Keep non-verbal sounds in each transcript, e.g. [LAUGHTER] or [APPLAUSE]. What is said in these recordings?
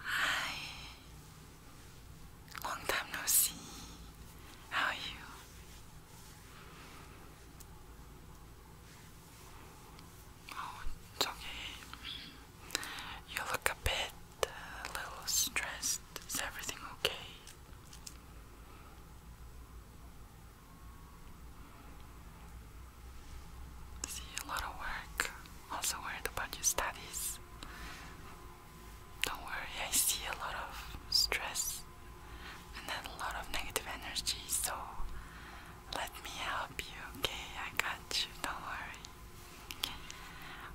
Hi. Long time no see. How are you? Oh, it's okay. You look a bit, uh, a little stressed. Is everything okay? See, a lot of work. Also worried about your studies. Don't worry, I see a lot of stress and then a lot of negative energy, so let me help you, okay? I got you, don't worry. Okay.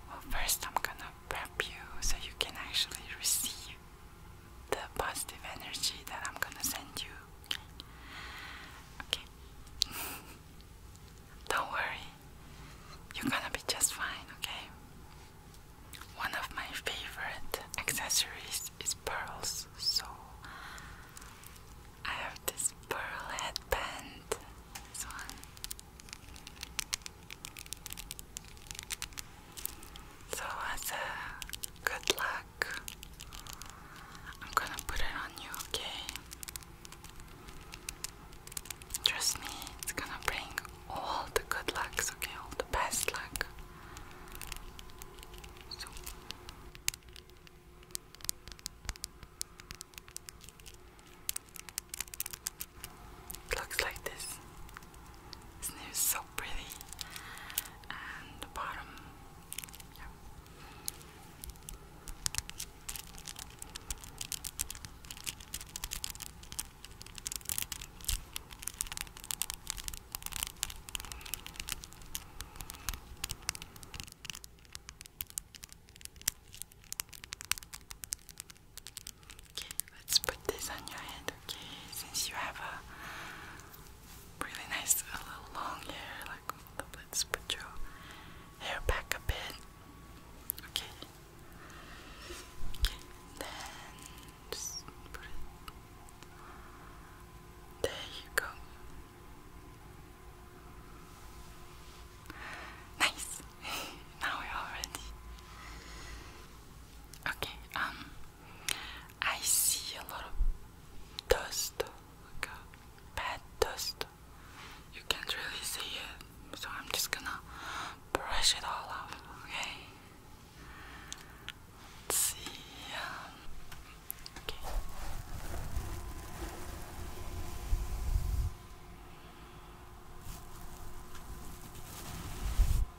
Well, first I'm gonna prep you so you can actually receive the positive energy that I'm gonna send you. Okay. [LAUGHS] Don't worry. You're gonna be just fine, okay? One of my favorite accessories is pearls, so I have this pearl headband. This one. So as a good luck, I'm gonna put it on you, okay? Trust me, it's gonna bring all the good lucks, okay? All the best luck. So. looks like this. It's so pretty? And the bottom, yeah. Okay, let's put this on your head, okay? Since you have a really nice a little long hair, like let's put your hair back a bit. Okay. Okay, then just put it. There you go. Nice. [LAUGHS] now we're all ready. Okay, um I see a lot of dust, like a bad dust. You can't really see it, so I'm just gonna brush it all off, okay? Let's see. Um, okay.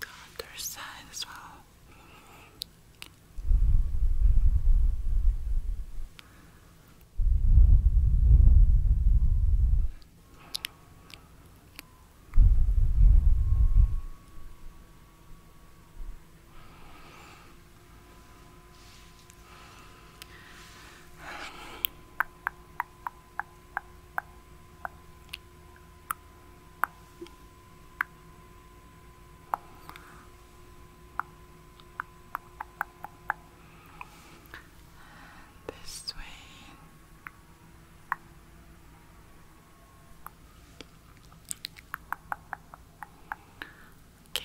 the their side as well. And this way. Okay.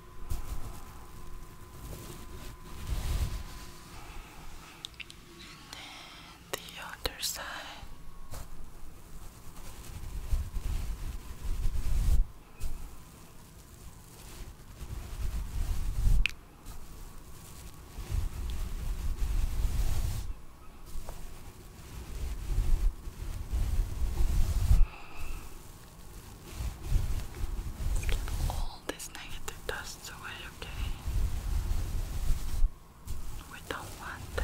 then the other all this negative dusts away, okay? We don't want that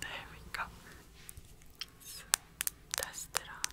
There we go. So dust it off.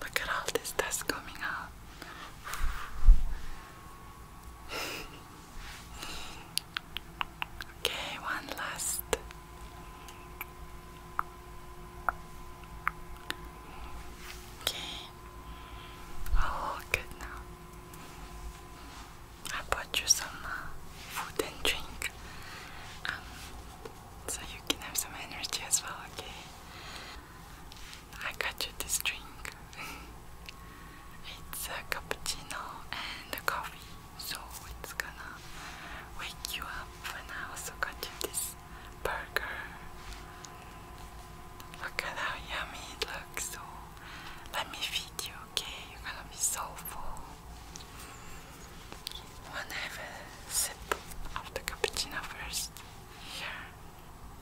Look at all this dust coming out. [LAUGHS] okay, one last. Okay. Oh, good now. I bought you some uh, food and drink um, so you can have some energy as well, okay? I got you this drink. [LAUGHS] it's a cappuccino and a coffee, so it's gonna wake you up. And I also got you this burger. Look at how yummy it looks. So let me feed you, okay? You're gonna be so full. Wanna have a sip of the cappuccino first? Here,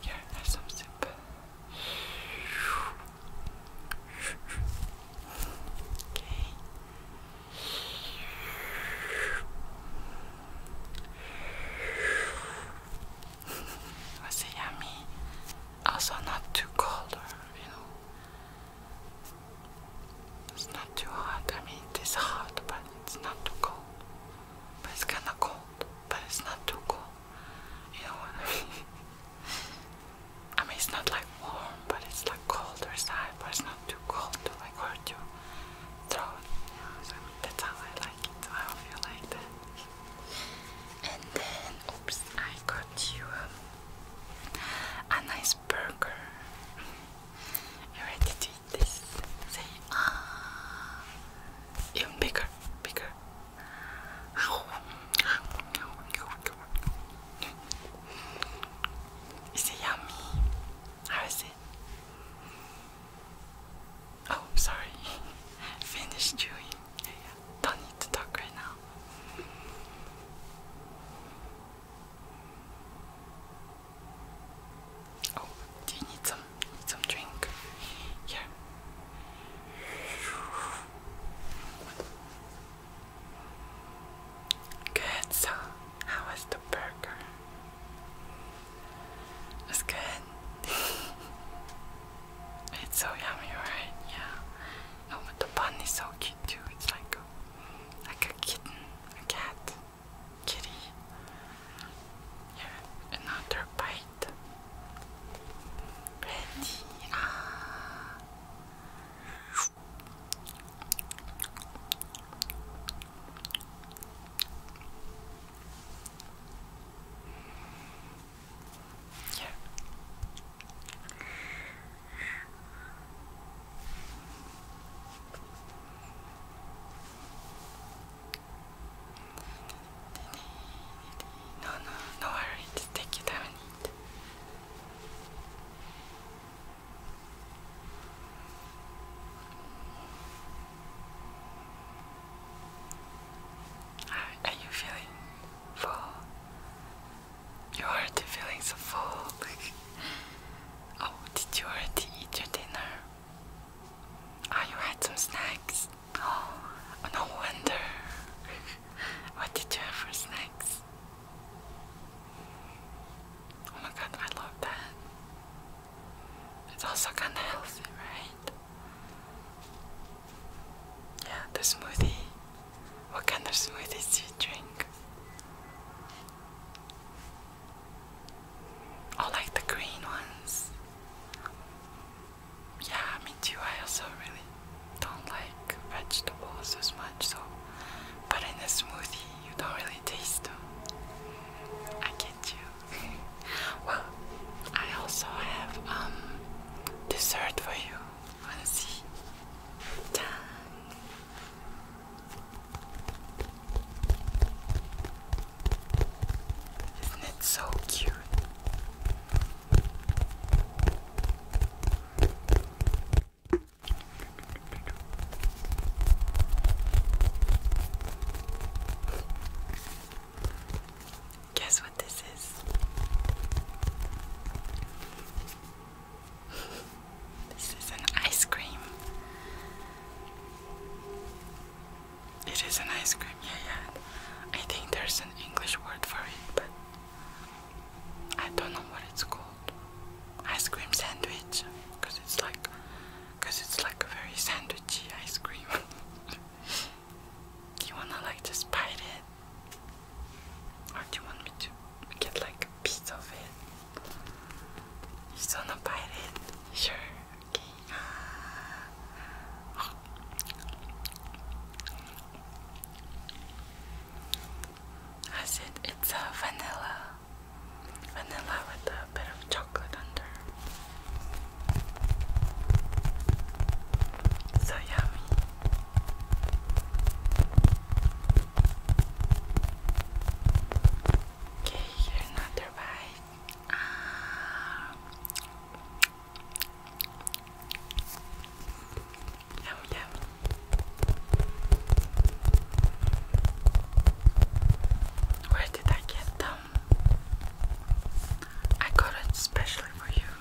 here, have some sip. [LAUGHS] Was it yummy? Also, not too cold, you know, it's not too hot. I mean, it is hot, but it's not too cold. But it's kind of cold, but it's not too cold. You know what I mean? [LAUGHS] it's not like warm, but it's like colder side, but it's not too cold to like hurt your throat. You know, that's how I like it. I hope you like that. And then, oops, I got you. Um, a nice burger. You ready to eat this? Say ah, even bigger, bigger. Is it yummy? How is it? Oh, sorry. [LAUGHS] Finish chewing don't need to talk right now. Oh, you need some need some drink? Here. Good, so how was the burger? It's good. [LAUGHS] it's so yummy, right? Yeah. Oh, the bun is so cute too. It's like a, like a kitten, a cat, kitty. Yeah, another bite. Ready? Ah. Yeah. No, no, no worry, just take your time are you feeling full? You're already feeling so full. oh, did you already eat your dinner? Ah, oh, you had some snacks. Oh, no wonder. what did you have for snacks? Oh my god, I love that. It's also kinda healthy, right? Yeah, the smoothie. What kind of smoothies do you drink? I like the green ones. Yeah, me too. I also really don't like vegetables as much, so but in a smoothie you don't really taste them. I get you. [LAUGHS] well, I also have um dessert for you want see Isn't it so cute? Guess this is. this is an ice cream. It is an ice cream, yeah, yeah. I think there's an English word for it, but I don't know what it's called. Ice cream sandwich, because it's like, it's like a very sandwichy ice cream. [LAUGHS] you wanna like just bite it? Or do you want me to get like a piece of it? You just wanna bite it? Sure, okay. I said it's a vanilla. Vanilla with a bit of chocolate under. So yummy. Okay, here another bite. Ah. Yum Where did I get them? I got it specially for you.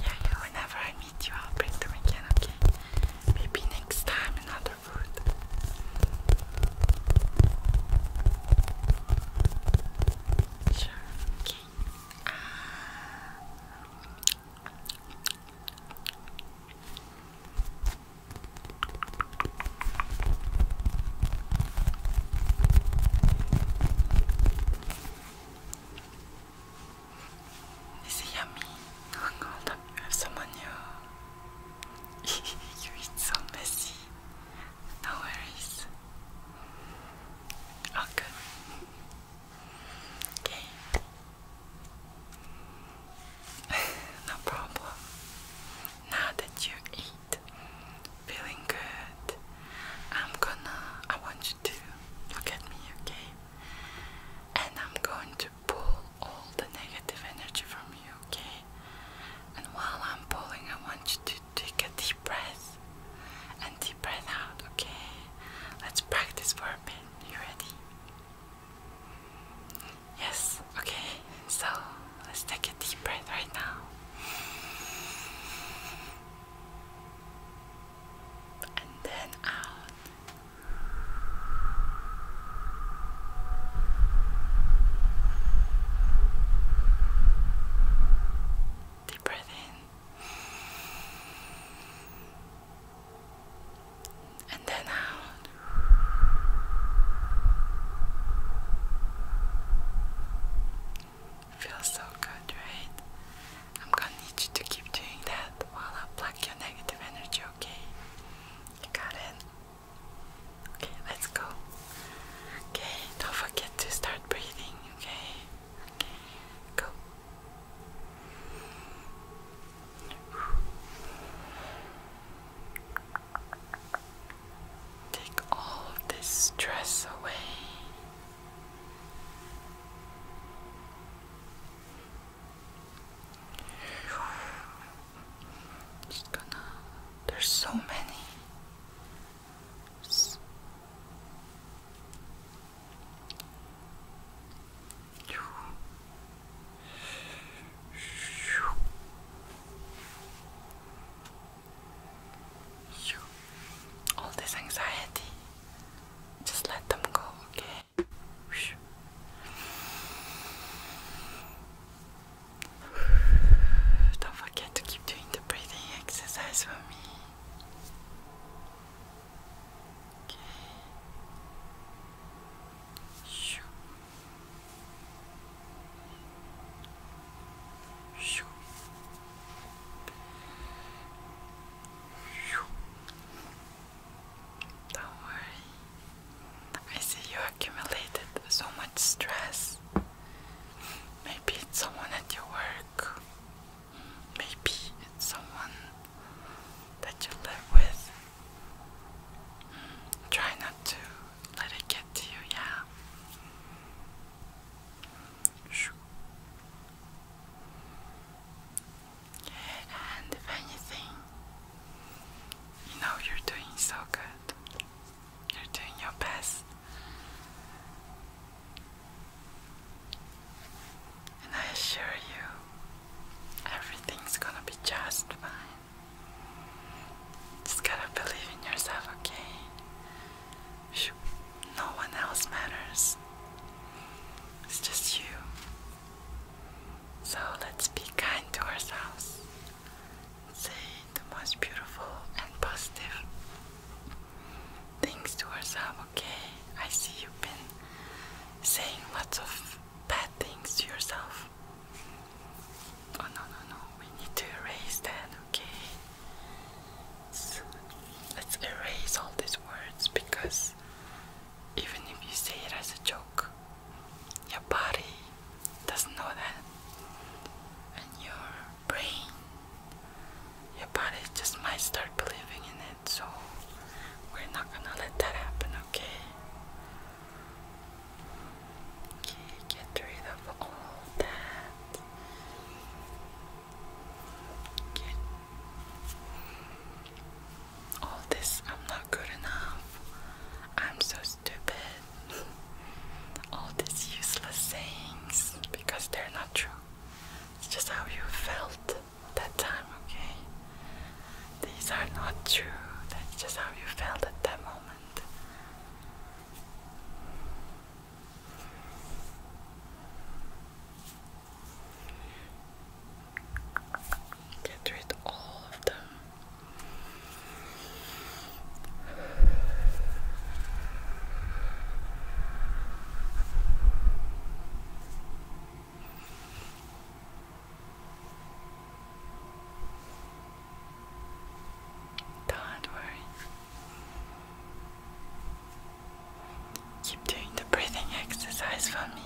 Yeah, whenever I meet you, I'll bring them again, okay? Maybe next time another food. Sure, okay. Uh, it's it yummy? Oh god, [LAUGHS] you have some on you. You're so messy. No worries. Oh Okay. [LAUGHS] no problem. Now that you eat, feeling good. I'm gonna, I want you to look at me, okay? And I'm going to pull all the negative energy from you, okay? And while I'm pulling, I want you to take a deep breath and deep breath out, okay? Let's practice for a bit. You ready? Yes, okay. So let's take a deep breath right now and then out. Deep breath in and then out. Feels so good, right? I'm gonna need you to keep doing that while I pluck your negative energy, okay? You got it? Okay, let's go. Okay, don't forget to start breathing, okay? Okay, go. Take all this stress away. Just gonna. There's so many. Just all this anxiety, just let them go, okay? [SIGHS] Don't forget to keep doing the breathing exercise for me. Okay do I see you accumulated so much stress. Maybe it's someone at your work. Maybe it's someone that you live with. Try not to let it get to you, yeah. And if anything, you know you're doing so good. You're doing your best. And I assure you, everything's gonna be just fine. Just gotta believe in yourself, okay? No one else matters. It's just you. So let's be kind to ourselves. Say the most beautiful and positive things to ourselves, okay? I see you've been saying lots of bad things to yourself. Oh no no no, we need to erase that, okay? let's erase all these words because even if you say it as a joke, your body doesn't know that. And your brain, your body just might start believing in it, so we're not gonna let that happen, okay? get rid of all that. Okay. All this, I'm not good enough. I'm so stupid. [LAUGHS] all these useless sayings because they're not true. It's just how you felt that time, okay? These are not true. That's just how you felt at that moment. Get rid all of them. Don't worry. Keep doing the breathing exercise for me.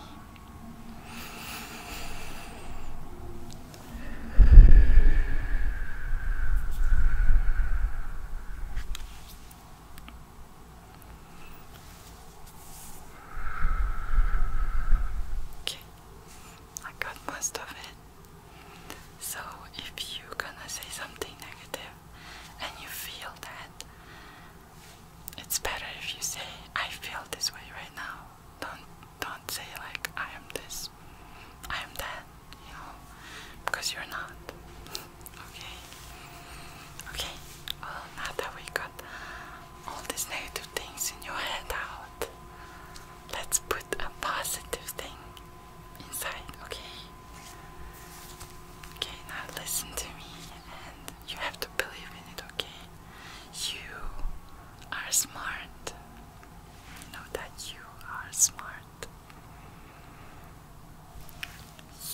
Okay, I got most of it. So if you're gonna say something negative and you feel that, it's better if you say I feel this way right now. Don't don't say like I am this, I am that, you know, because you're not. okay. Okay. Well, now that we got all these negative things in your head out, let's put a positive thing inside, okay? Okay, now listen to me and you have to believe in it, okay? You are smart. Know that you are smart.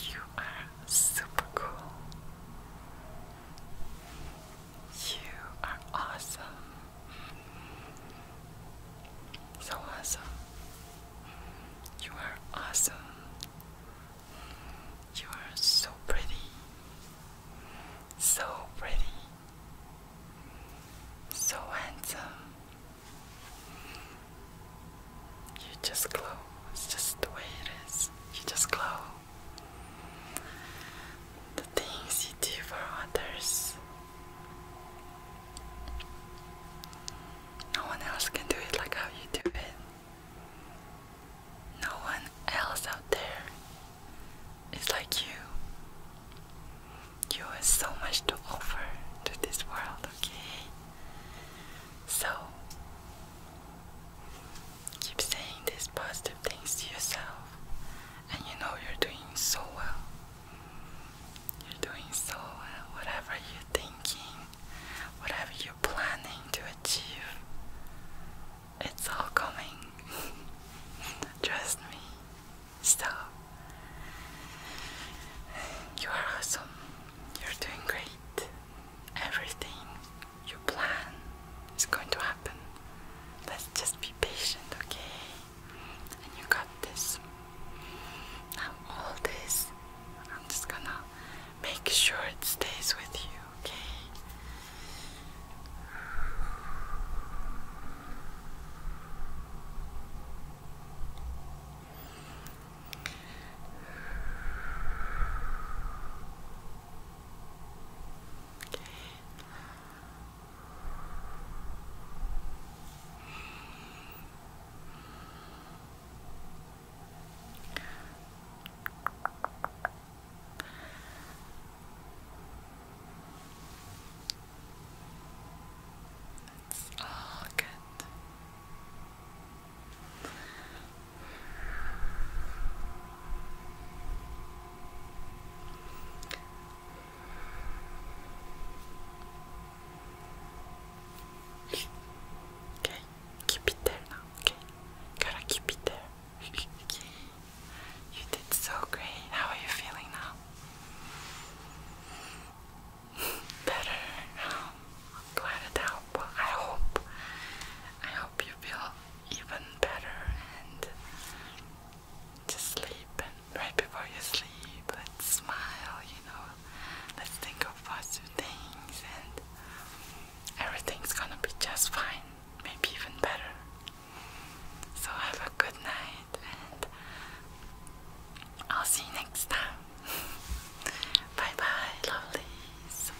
You are super cool. You are awesome. So awesome. You are awesome. You are so pretty. So pretty. So handsome. You just glow. It's just the way it is. You just glow. The things you do for others no one else can do it like how you do it. No one else out there is like you. You have so much to offer to this world, okay? So, keep saying these positive things to yourself and you know you're doing so well. You're doing so well. Whatever you're thinking, whatever you're planning to achieve, it's all coming. [LAUGHS] Trust me. Stop. You are awesome. You're doing great. Everything you plan is going to happen. Let's just be patient, okay? and you got this. Now, all this, I'm just gonna make sure it stays with you, okay? Okay. It's all good. Okay, keep it there now, okay? Gotta keep it there. okay. You did so great. How are you feeling now? Better um, glad it helped. I hope I hope you feel even better and just sleep and right before you sleep let's smile you know let's think of positive things and everything's gonna be just fine maybe even better so have a good night and I'll see you next time [LAUGHS] bye bye lovelies